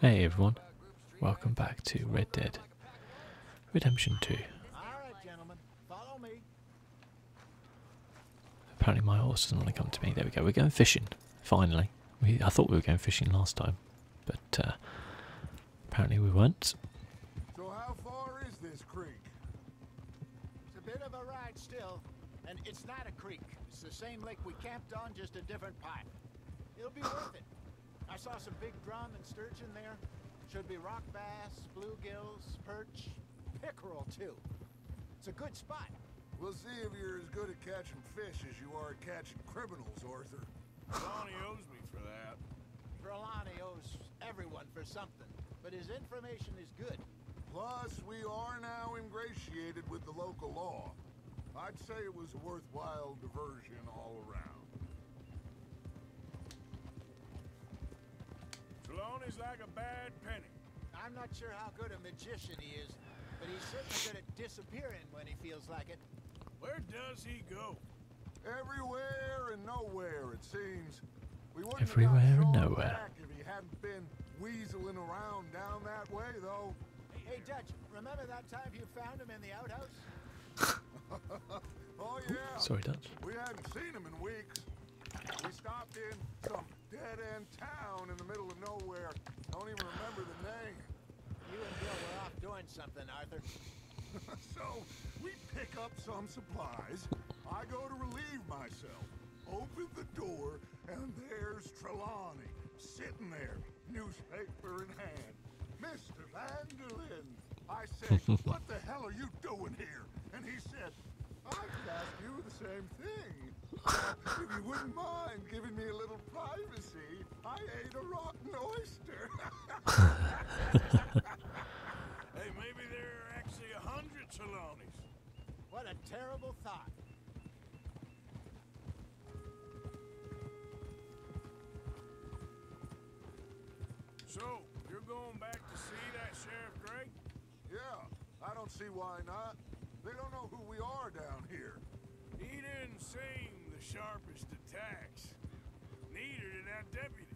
Hey everyone, welcome back to Red Dead Redemption 2. Apparently my horse doesn't want to come to me. There we go, we're going fishing, finally. I thought we were going fishing last time, but uh, apparently we weren't. So how far is this creek? It's a bit of a ride still. And it's not a creek. It's the same lake we camped on, just a different part. It'll be worth it. I saw some big drum and sturgeon there. Should be rock bass, bluegills, perch, pickerel too. It's a good spot. We'll see if you're as good at catching fish as you are at catching criminals, Arthur. Trelawney owes me for that. Trelawney owes everyone for something, but his information is good. Plus, we are now ingratiated with the local law. I'd say it was a worthwhile diversion all around. Trelawney's like a bad penny. I'm not sure how good a magician he is, but he's certainly good at disappearing when he feels like it. Where does he go? Everywhere and nowhere, it seems. Everywhere and nowhere if he hadn't been weaseling around down that way, though. Hey, Dutch, remember that time you found him in the outhouse? oh, yeah. Sorry, Dutch. We hadn't seen him in weeks. We stopped in some dead-end town in the middle of nowhere. Don't even remember the name. You and Bill were off doing something, Arthur. so, we pick up some supplies. I go to relieve myself. Open the door, and there's Trelawney, sitting there, newspaper in hand. Mr. Vanderlyn, I said, what the hell are you doing here? And he said, I could ask you the same thing. if you wouldn't mind giving me a little privacy, I ate a rotten oyster. hey, maybe there are actually a hundred Trelawneys. What a terrible thought. So, you're going back to see that Sheriff Drake? Yeah, I don't see why not. They don't know who we are down here. He didn't seem the sharpest attacks. Neither did that deputy.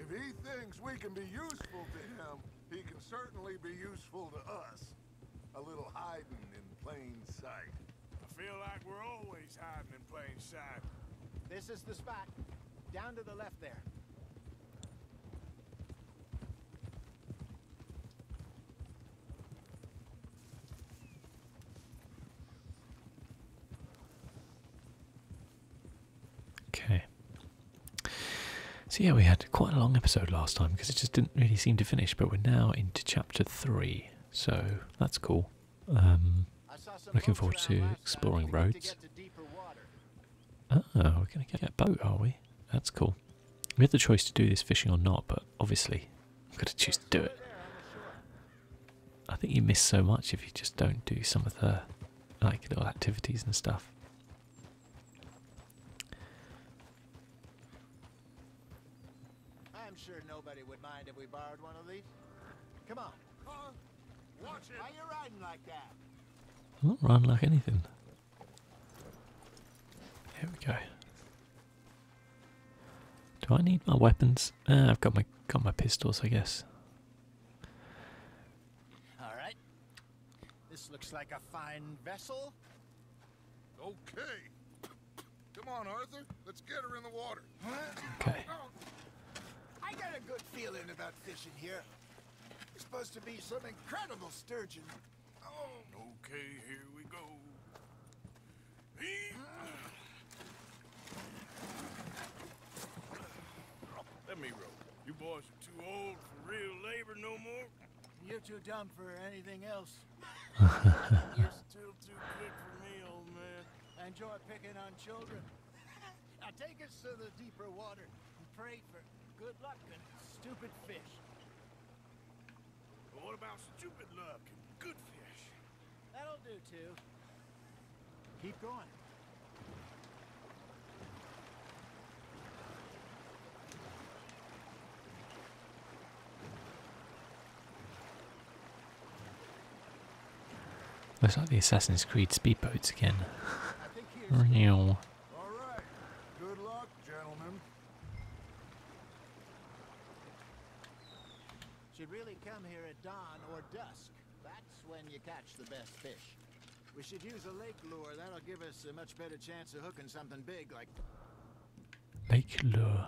If he thinks we can be useful to him, he can certainly be useful to us. A little hiding in plain sight. I feel like we're always hiding in plain sight. This is the spot. Down to the left there. Okay, so, yeah, we had quite a long episode last time because it just didn't really seem to finish, but we're now into chapter three, so that's cool. Um, looking forward to exploring roads. Oh, we're going to get ah, a boat, are we? That's cool. We had the choice to do this fishing or not, but obviously I'm going to choose to do it. I think you miss so much if you just don't do some of the like little activities and stuff. I'm sure nobody would mind if we borrowed one of these. Come on. Car, watch it. are you riding like that? I'm not riding like anything. Here we go. Do I need my weapons? Ah, I've got my got my pistols, I guess. All right, this looks like a fine vessel. Okay. Come on, Arthur. Let's get her in the water. Okay. Oh. I got a good feeling about fishing here. There's supposed to be some incredible sturgeon. Oh. Okay, here we go. Let me row. You boys are too old for real labor no more. You're too dumb for anything else. You're still too good for me, old man. I enjoy picking on children. now take us to the deeper water and pray for good luck and stupid fish. But what about stupid luck and good fish? That'll do, too. Keep going. Looks like the Assassin's Creed speedboats again. Real. Good luck, gentlemen. Should really come here at dawn or dusk. That's when you catch the best fish. We should use a lake lure. That'll give us a much better chance of hooking something big like lake lure.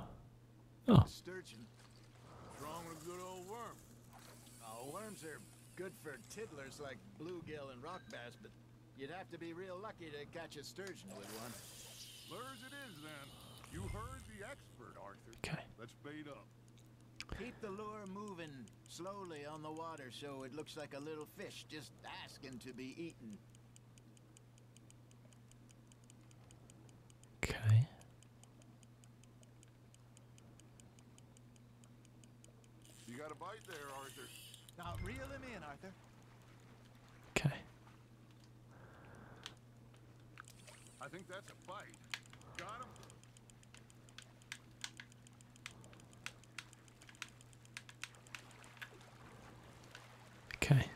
Oh. Sturgeon. Strong with good old worm. Oh, worms are good for tiddlers like bluegill and rock bass, but you'd have to be real lucky to catch a sturgeon with one. Lures it is then. You heard the expert, Arthur. Okay. Let's bait up. Keep the lure moving slowly on the water so it looks like a little fish just asking to be eaten. Okay. You got a bite there, Arthur. Now reel him Arthur. Okay. Okay.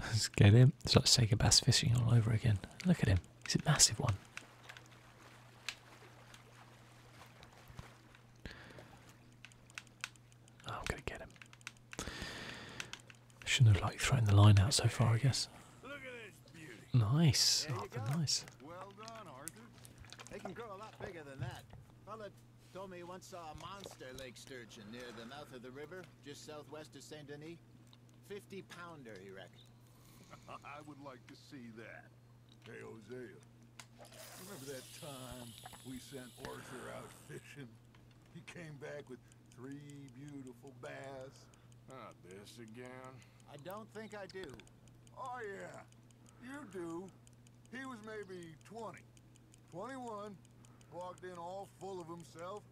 Let's get him. It's like Sega Bass fishing all over again. Look at him. He's a massive one. I'm going to get him. Shouldn't have like thrown the line out so far, I guess. Nice, Arthur, oh, nice. Well done, Arthur. They can grow a lot bigger than that. Fella told me he once saw a monster lake sturgeon near the mouth of the river, just southwest of Saint Denis. Fifty pounder, he reckoned. I would like to see that. Hey, Hosea. Remember that time we sent Arthur out fishing? He came back with three beautiful bass not this again. I don't think I do. Oh, yeah. You do. He was maybe 20, 21, walked in all full of himself.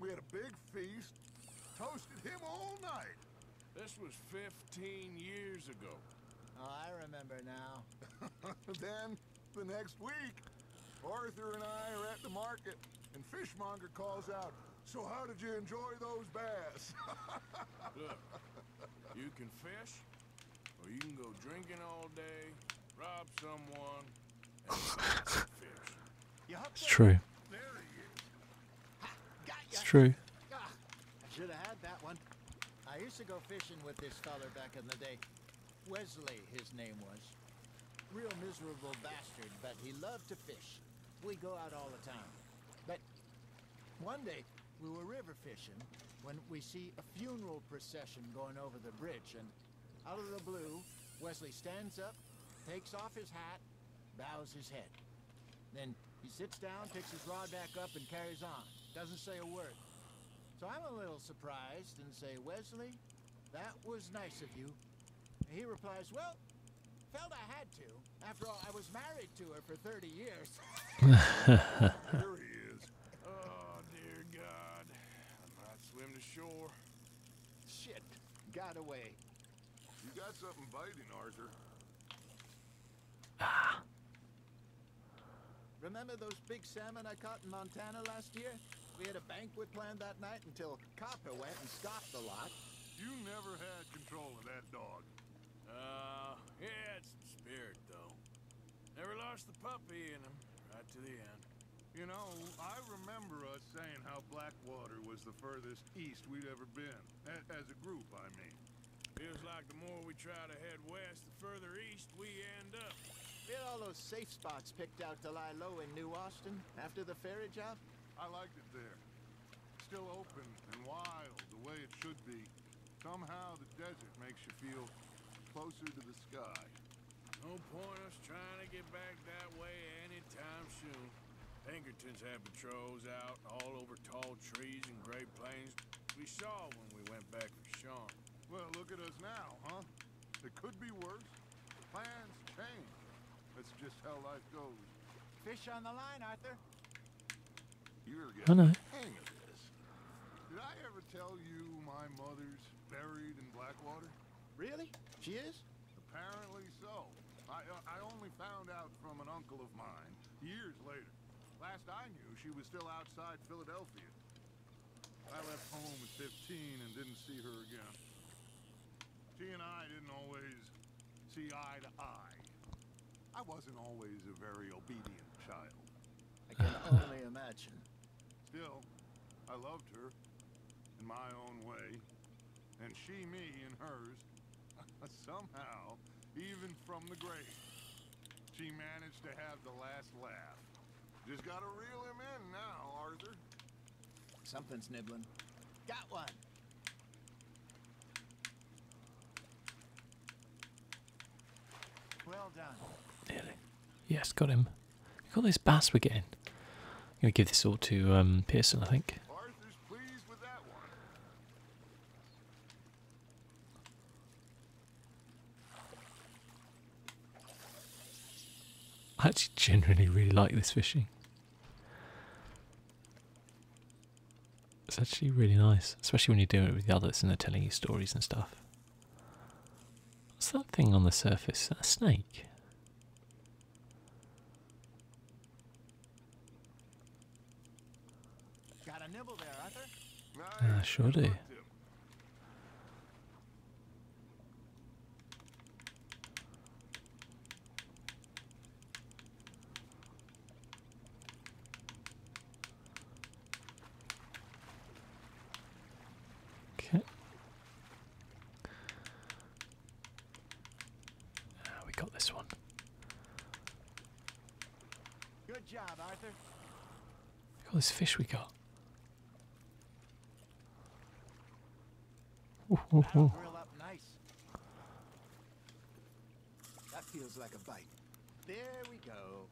We had a big feast, toasted him all night. This was 15 years ago. Oh, I remember now. then, the next week, Arthur and I are at the market, and Fishmonger calls out, So how did you enjoy those bass? you can fish, or you can go drinking all day, rob someone, and fish. It's true. It's ah, true. I should have had that one. I used to go fishing with this fellow back in the day. Wesley, his name was. Real miserable bastard, but he loved to fish. We go out all the time. But one day, we were river fishing when we see a funeral procession going over the bridge, and out of the blue, Wesley stands up, takes off his hat, bows his head. Then he sits down, picks his rod back up, and carries on. Doesn't say a word. So I'm a little surprised and say, Wesley, that was nice of you. He replies, Well, felt I had to. After all, I was married to her for 30 years. there he is. Oh, dear God. I might swim to shore. Shit. Got away. You got something biting, Arthur. Ah. Remember those big salmon I caught in Montana last year? We had a banquet planned that night until Copper went and stopped the lot. You never had control of that dog. Ah, he had some spirit, though. Never lost the puppy in him, right to the end. You know, I remember us saying how Blackwater was the furthest east we'd ever been. as a group, I mean. Feels like the more we try to head west, the further east we end up. We had all those safe spots picked out to lie low in New Austin after the ferry job? I liked it there. Still open and wild, the way it should be. Somehow the desert makes you feel closer to the sky. No point us trying to get back that way anytime soon. Pinkertons had patrols out all over tall trees and great plains. We saw when we went back for Sean. Well, look at us now, huh? It could be worse. Plans change. That's just how life goes. Fish on the line, Arthur. You're getting oh, no. hang of this. Did I ever tell you my mother's buried in Blackwater? Really? She is? Apparently so. I, uh, I only found out from an uncle of mine years later. Last I knew, she was still outside Philadelphia. I left home at 15 and didn't see her again. She and I didn't always see eye to eye. I wasn't always a very obedient child. I can only imagine. Still, I loved her in my own way, and she me in hers, somehow, even from the grave. She managed to have the last laugh. Just gotta reel him in now, Arthur. Something's nibbling. Got one. Well done. Nearly. Yes, got him. Look at this bass we're getting. I'm going to give this all to um, Pearson, I think. I actually genuinely really like this fishing. It's actually really nice, especially when you're doing it with the others and they're telling you stories and stuff. What's that thing on the surface? that a snake? Got should he? Okay. Uh, we got this one. Good job, Arthur. Look at this fish we got. That feels like a bite. There we go.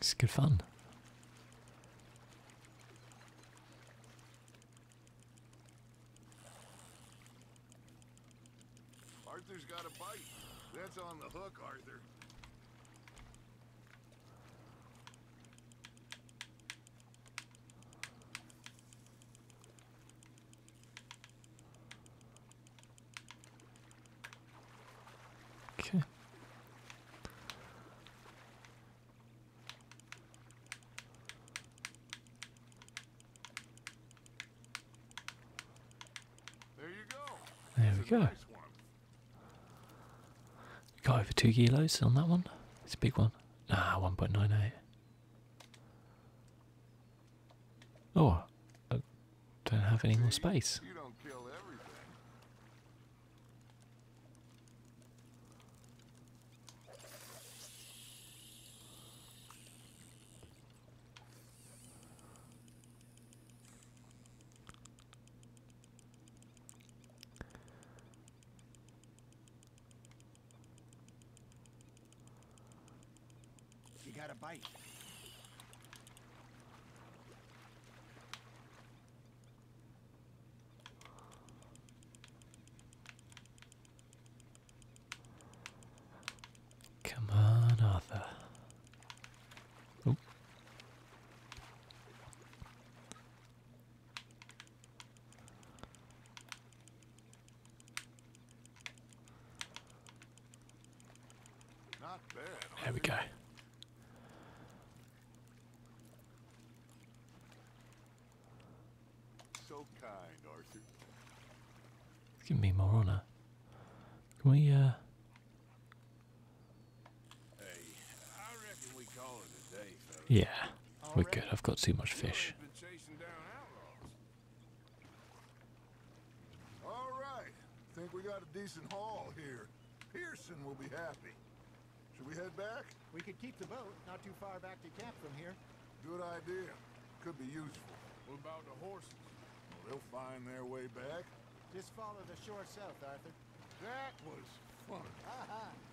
It's good fun. Arthur's got a bite. That's on the hook, Arthur. Okay. There we go. Got over two kilos on that one. It's a big one. Ah, 1.98. Oh, don't have any more space. You got a bite. Come on, Arthur. There we go. So kind, Arthur. It's giving me more honor. Can we, uh. Yeah, we could. I've got too much fish. Alright, think we got a decent haul here. Pearson will be happy. Should we head back? We could keep the boat not too far back to camp from here. Good idea. Could be useful. We'll about the horses? they'll find their way back. Just follow the shore south, Arthur. That was fun.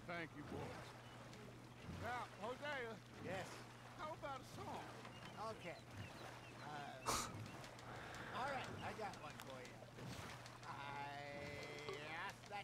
Thank you, boys. Now, Hosea. Yes? How about a song? Okay. Uh, all right, I got one for you. I asked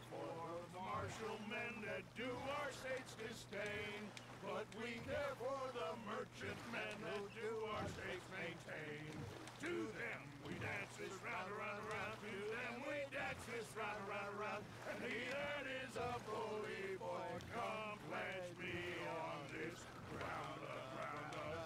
for the martial men that do our state's disdain, but we care for the merchant men that do our state's maintain. To them we dance this round, around, around, to them we dance this round, around, around, and the earth is a bully boy, come pledge me on this ground, ground, ground.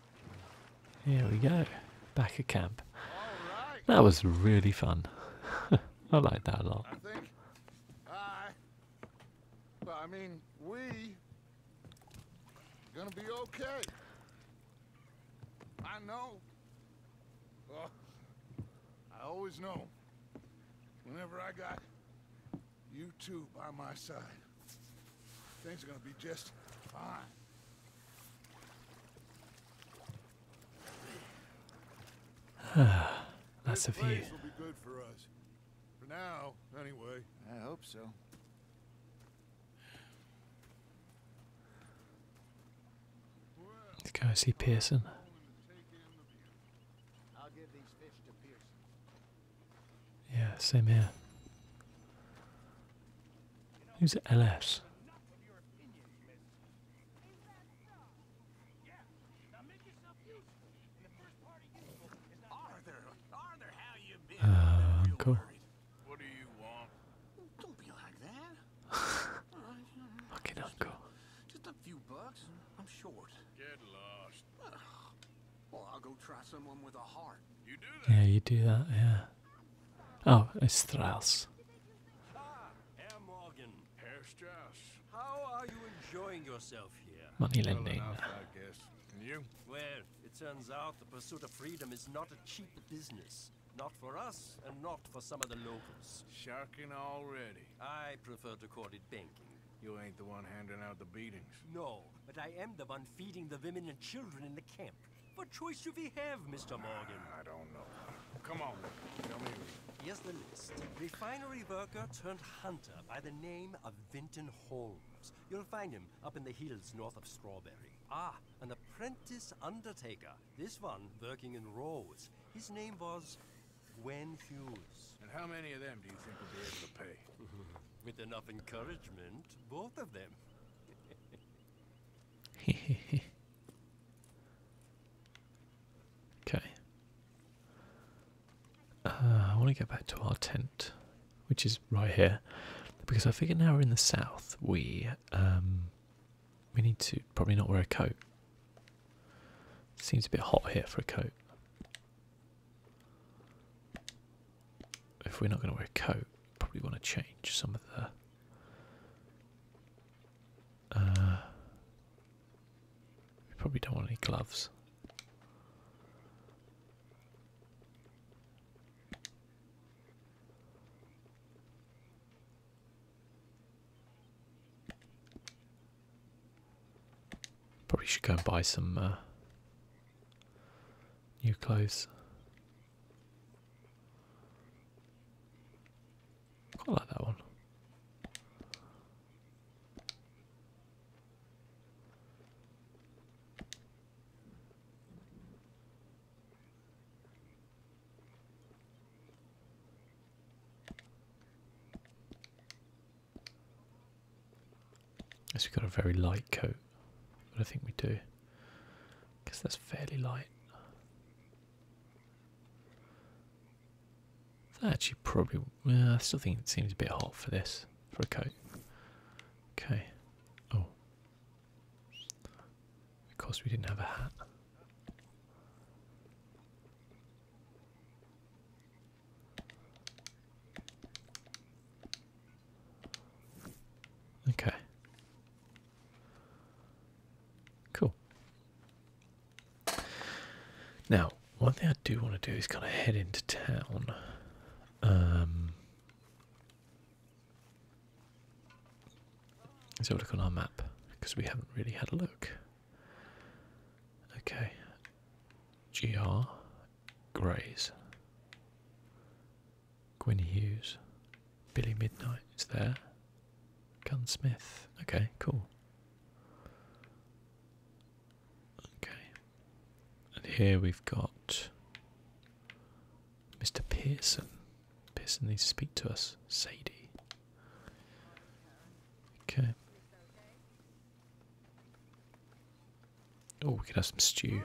Here we go. Back at camp. That was really fun. I like that a lot. I think well, I mean we gonna be okay. I know. I always know. Whenever I got you two by my side. Things are gonna be just fine. That's a view. for now, anyway. I hope so. Let's go see Pearson. Yeah, same here. Who's LS? Uh, What do you want? Don't be like Fucking uncle. Just a few bucks. I'm short. Get lost. Well, I'll go try someone with a heart. Yeah, you do that, yeah. Oh, it's Strauss. How are you enjoying yourself here? Money lending. Well it turns out the pursuit of freedom is not a cheap business. Not for us, and not for some of the locals. Sharking already. I prefer to call it banking. You ain't the one handing out the beatings. No, but I am the one feeding the women and children in the camp. What choice do we have, Mr. Morgan? I don't know. Come on, tell me. Here's the list. Refinery worker turned hunter by the name of Vinton Holmes. You'll find him up in the hills north of Strawberry. Ah, an apprentice undertaker. This one working in Rhodes. His name was Gwen Hughes. And how many of them do you think we will be able to pay? With enough encouragement, both of them. okay. Uh, I want to get back to our tent, which is right here, because I figure now we're in the south. We um, we need to probably not wear a coat. Seems a bit hot here for a coat if we're not going to wear a coat, probably want to change some of the. Uh, we probably don't want any gloves. Probably should go and buy some uh, new clothes. I like that one. Unless we've got a very light coat. But I think we do. Because that's fairly light. That actually probably... Well, I still think it seems a bit hot for this. For a coat. Okay. Oh. Of we didn't have a hat. Okay. Cool. Now, one thing I do want to do is kind of head into town. Um, let's have a look on our map because we haven't really had a look. Okay. GR Grays. Gwen Hughes, Billy Midnight is there. Gunsmith. Okay, cool. Okay. And here we've got Mr. Pearson. Pearson needs to speak to us. Sadie. Okay. Oh, we could have some stew.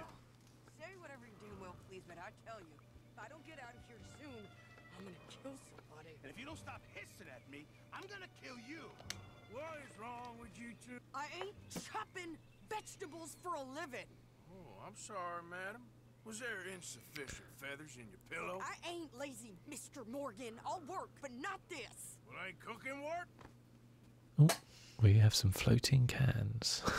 I am gonna kill somebody. i ain't chopping vegetables for a living. Oh, I'm sorry, madam. Was there insufficient feathers in your pillow? I ain't lazy, Mr. Morgan. I'll work, but not this. Well, I ain't cooking work? Oh, we have some floating cans.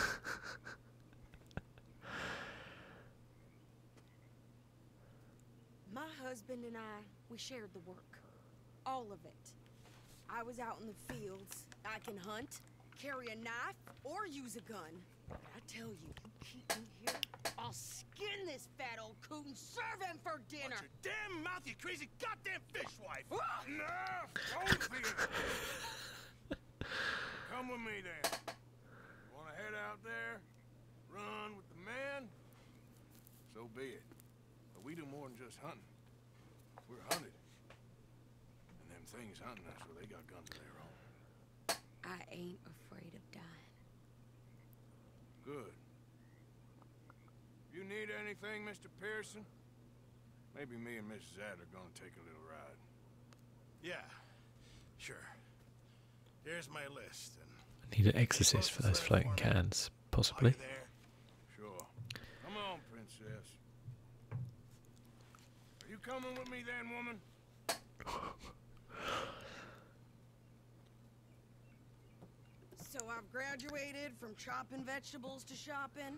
My husband and I, we shared the work. All of it. I was out in the fields. I can hunt, carry a knife, or use a gun. But I tell you, keep me here, I'll skin this fat old coon, serve him for dinner. damn mouth, you crazy goddamn fishwife. Nerf, Come with me then. Want to head out there, run with the man? So be it. But we do more than just hunting. We're hunted. And them things hunting us, well, they got guns of their own. I ain't afraid of dying. Good. You need anything, Mr. Pearson? Maybe me and Miss Zad are gonna take a little ride. Yeah, sure. Here's my list. I need an exorcist for those floating cans, possibly. Sure. Come on, princess. Are you coming with me then, woman? so I've graduated from chopping vegetables to shopping.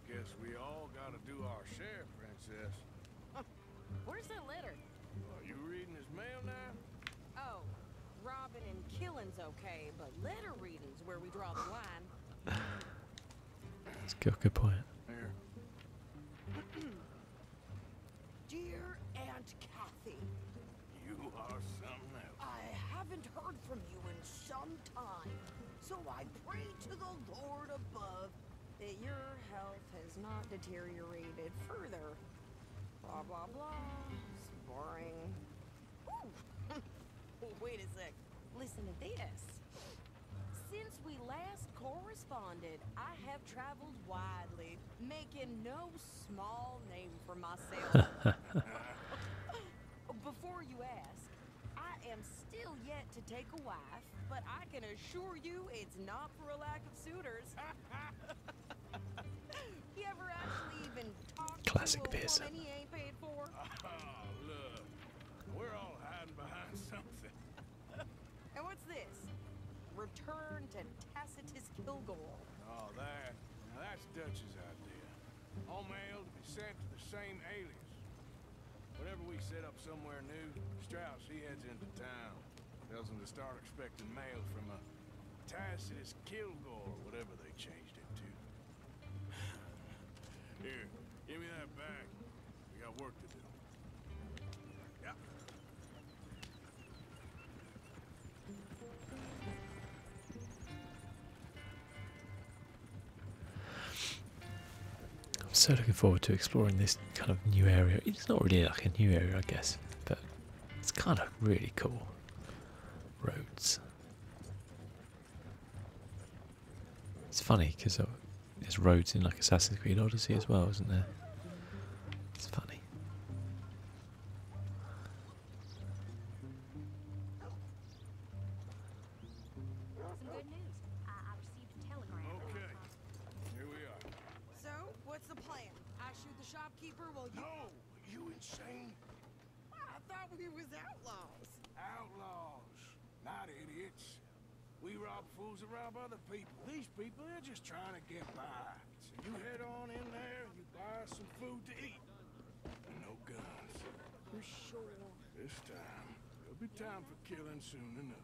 guess we all gotta do our share, Princess. Where's that letter? Are you reading his mail now? Oh, robbing and killing's okay, but letter reading's where we draw the line. That's a good point. Dear Aunt Kathy. You are something I haven't heard from you in some time. So I pray to the Lord above that your health has not deteriorated further. Blah, blah, blah. It's boring. Wait a sec. Listen to this. Since we last corresponded, I have traveled widely, making no small name for myself. Before you ask, I am still yet to take a wife, laugh, but I can assure you it's not for a lack of suitors. Classic to oh, Return to Tacitus Kilgore. Oh, that. that's Dutch's idea. All mail to be sent to the same alias. Whenever we set up somewhere new, Strauss, he heads into town. Tells them to start expecting mail from a Tacitus Kilgore, whatever they changed it to. Here, give me that bag. We got work to do. Yeah. I'm so looking forward to exploring this kind of new area. It's not really like a new area, I guess, but it's kind of really cool. Roads. It's funny because uh, there's roads in like Assassin's Creed Odyssey as well, isn't there? It's funny. I, So, what's the plan? I shoot the shopkeeper while you... No! you insane? I thought we was outlaws. Outlaws. Not idiots. We rob fools that rob other people. These people, they're just trying to get by. So you head on in there and you buy some food to eat. No guns. You're sure this time, there'll be time for killing soon enough.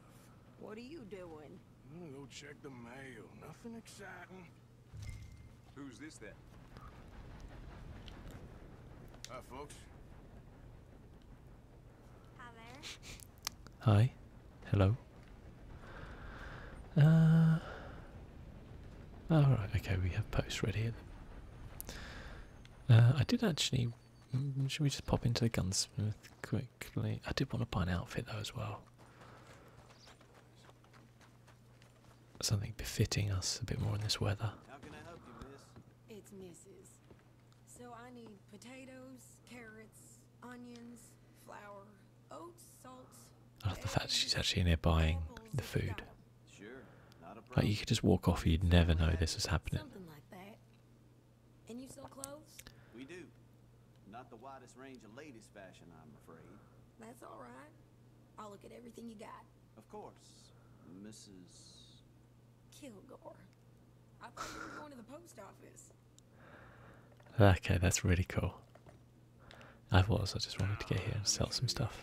What are you doing? I'm gonna go check the mail. Nothing exciting. Who's this then? Hi, folks. Hi there. Hi. Hello. Uh. Alright, okay, we have post ready. Uh, I did actually Mm, should we just pop into the gunsmith quickly? I did want to buy an outfit though as well. Something befitting us a bit more in this weather. I It's Mrs. So I need potatoes, carrots, onions, flour, oats, salt. I love the fact she's actually in here buying the food. Like you could just walk off, and you'd never know this was happening. And you sell clothes? We do. Not the widest range of latest fashion, I'm afraid. That's all right. I'll look at everything you got. Of course, Mrs. Kilgore. I thought you were going to the post office. Okay, that's really cool. I was, I just wanted to get here and sell some stuff.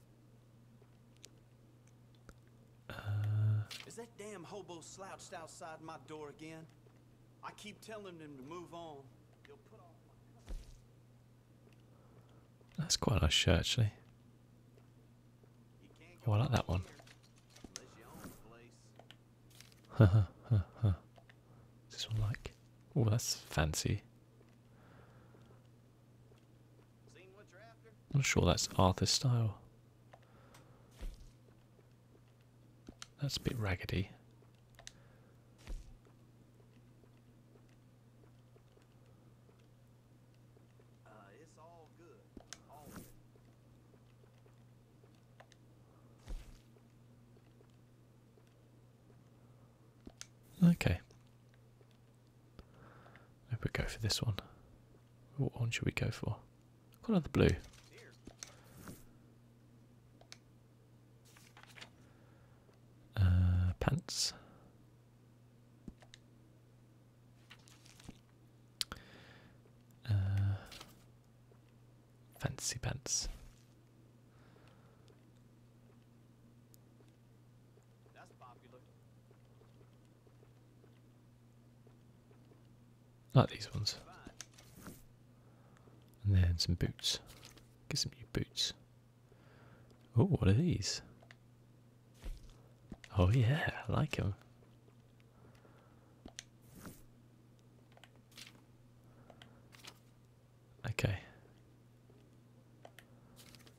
Uh, Is that damn hobo slouched outside my door again? I keep telling him to move on. That's quite a nice shirt, actually. Oh, I like that one. Huh, huh, huh, huh. this one like? Oh, that's fancy. I'm sure that's Arthur's style. That's a bit raggedy. Okay. I we go for this one. What one should we go for? Colour the blue. Uh, pants. Uh, fancy pants. That's popular. Like these ones. And then some boots. Get some new boots. Oh, what are these? Oh yeah, I like them. Okay.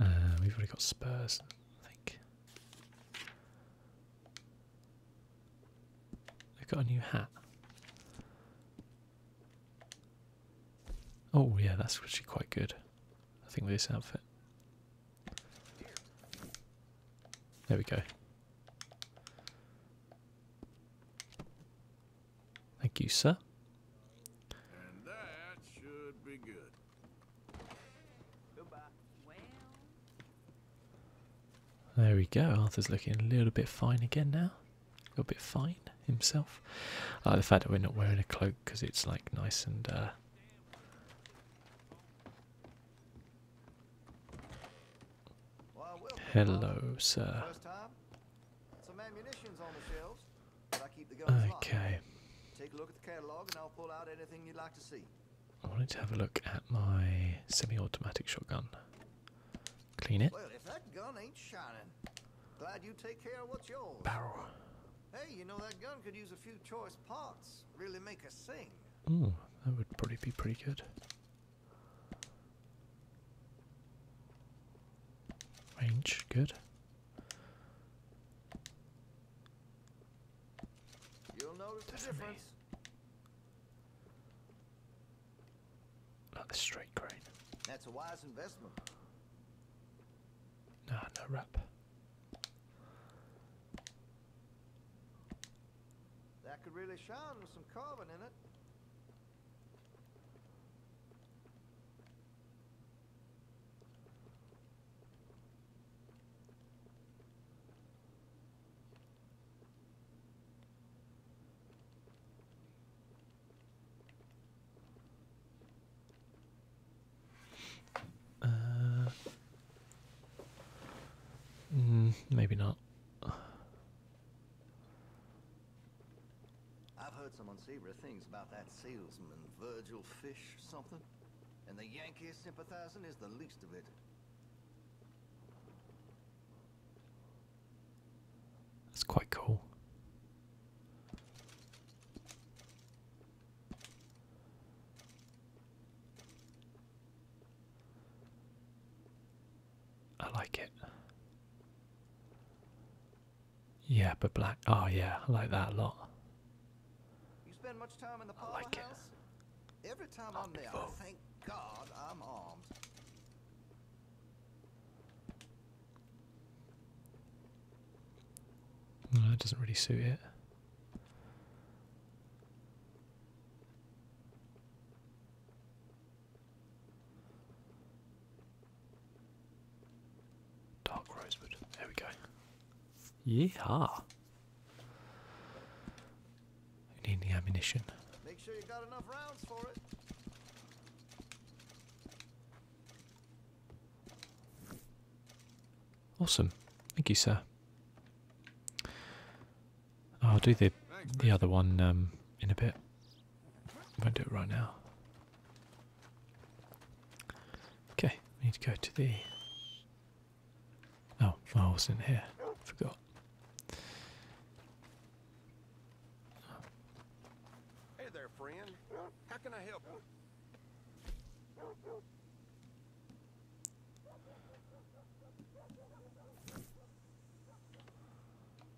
Um, we've already got Spurs, I think. They've got a new hat. Oh yeah, that's actually quite good. I think with this outfit. There we go. Thank you, sir. There we go. Arthur's looking a little bit fine again now. A little bit fine himself. the fact that we're not wearing a cloak because it's like nice and uh, Hello, sir. Okay. Take a look at the catalog and I'll pull out anything you'd like to see. I wanted to have a look at my semi-automatic shotgun. Clean it. Well, if that gun ain't shining, glad you take care of what's yours. Barrel. Hey, you know that gun could use a few choice parts. Really make us sing. Ooh, that would probably be pretty good. Range, good. You'll notice the straight crane. That's a wise investment. Nah, no wrap. That could really shine with some carbon in it. Uh, mm, maybe not. I've heard some unsavory things about that salesman, Virgil Fish something. And the Yankees sympathizing is the least of it. That's quite cool. I like it. Yeah, but black. Oh, yeah, I like that a lot. You spend much time in the I like it. Every time I'm there, I thank God I'm armed. that doesn't really suit it. Dark rosewood. There we go. Yeehaw! We need the ammunition. Awesome. Thank you, sir. Oh, I'll do the the other one um, in a bit. I won't do it right now. Okay, we need to go to the. Oh, I was in here. Forgot. Hey there, friend. How can I help you?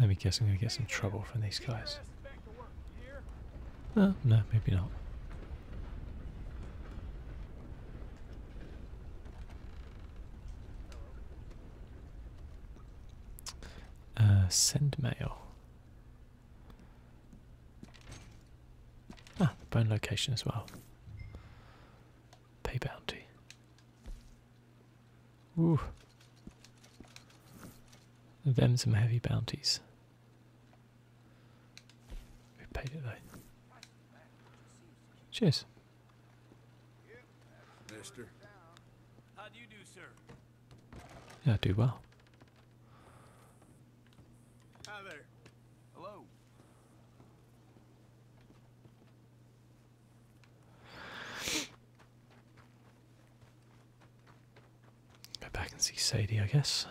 Let me guess I'm going to get some trouble from these guys. Oh, no, maybe not. Uh, send mail. Ah, bone location as well. Pay bounty. Ooh. Them some heavy bounties. We paid it though. Cheers. Yeah, do well. Hi there. Hello. Go back and see Sadie, I guess.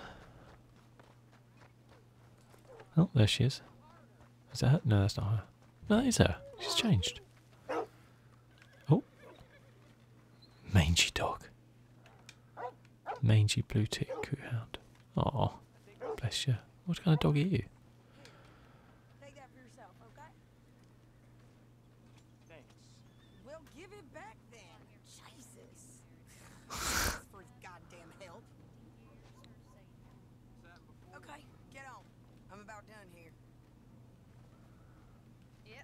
Oh, there she is. Is that her? No, that's not her. No, that is her. She's changed. Oh. Mangy dog. Mangy blue tick coohound. Oh, bless you. What kind of dog are you? Take that for yourself, okay? Thanks. We'll give it back then. Jesus. for goddamn help. Okay, get on. I'm about done here. Yep.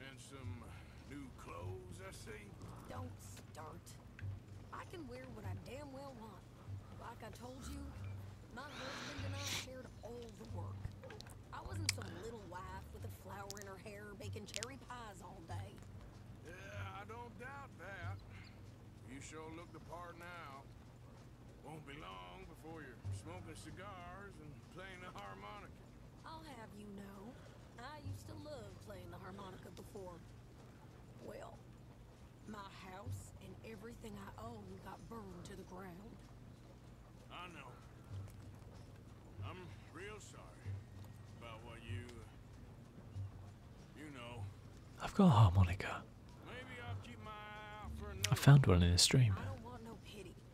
And some new clothes, I see? Don't start. I can wear what I damn well want. Like I told you, my husband and I shared all the work. I wasn't some little wife with a flower in her hair baking cherry pies all day. Yeah, I don't doubt that. You sure look the part now. Won't be long before you're smoking cigars and playing the harmonica. I'll have you know, I used to love playing the harmonica before. Well, my house and everything I own got burned to the ground. I know. I'm real sorry about what you, you know. I've got a harmonica. I found one in a stream. no pity.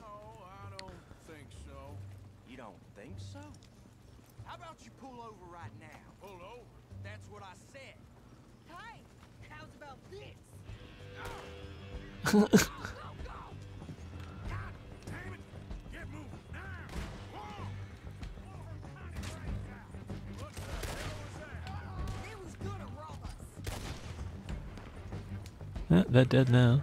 No, I don't think so. You don't think so? How about you pull over right now? Pull over? That's what I said. Hey, how's about this? go, go, go. God damn it! Get moving now! Whoa! Oh, they're dead now.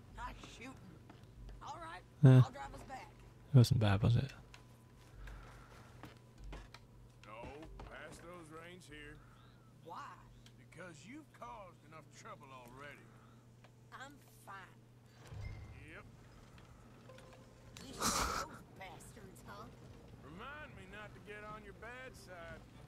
Not eh. It wasn't bad, was it? No, past those reins here. Why? Because you've caused enough trouble already. I'm fine. Yep. You those bastards, huh? Remind me not to get on your bad side.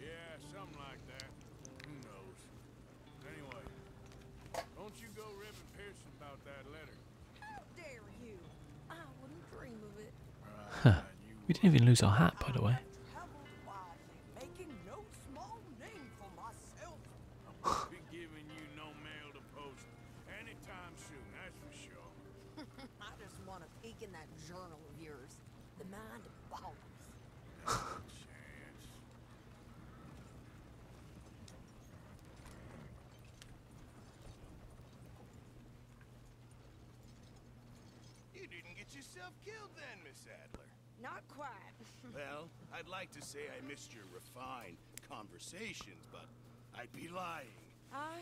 Yeah, something like that. Who knows? Anyway, don't you go ripping Pearson about that letter. dare you? I wouldn't dream of it. Huh. We didn't even lose our hat, by the way. I just want to peek in that journal of yours. The mind of always. you didn't get yourself killed then, Miss Adler. Not quite. well, I'd like to say I missed your refined conversations, but I'd be lying. I...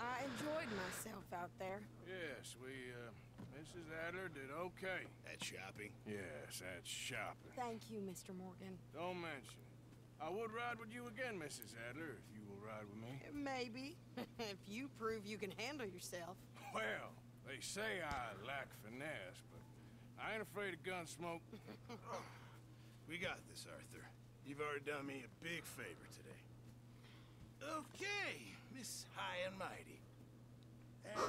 I enjoyed myself out there. Yes, we, uh, Mrs. Adler did okay. At shopping? Yes, at shopping. Thank you, Mr. Morgan. Don't mention it. I would ride with you again, Mrs. Adler, if you will ride with me. Eh, maybe. if you prove you can handle yourself. Well, they say I lack finesse, but I ain't afraid of gun smoke. we got this, Arthur. You've already done me a big favor today. Okay, Miss High and Mighty. And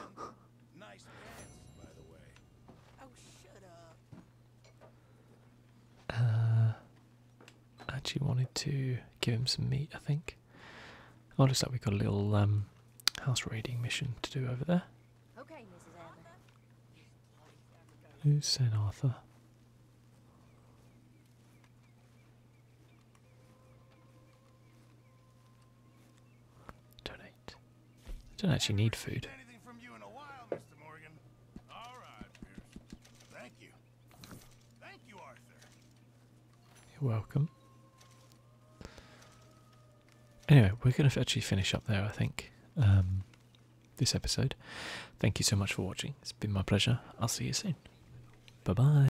nice pants, by the way. Oh, shut up. Uh, I actually wanted to give him some meat, I think. Oh, looks like we got a little um, house raiding mission to do over there. Okay, Mrs. Adler. Who said Arthur? Donate. I don't actually need food. you Thank you. Thank you, Arthur. You're welcome. Anyway, we're going to actually finish up there, I think, um, this episode. Thank you so much for watching. It's been my pleasure. I'll see you soon. Bye bye.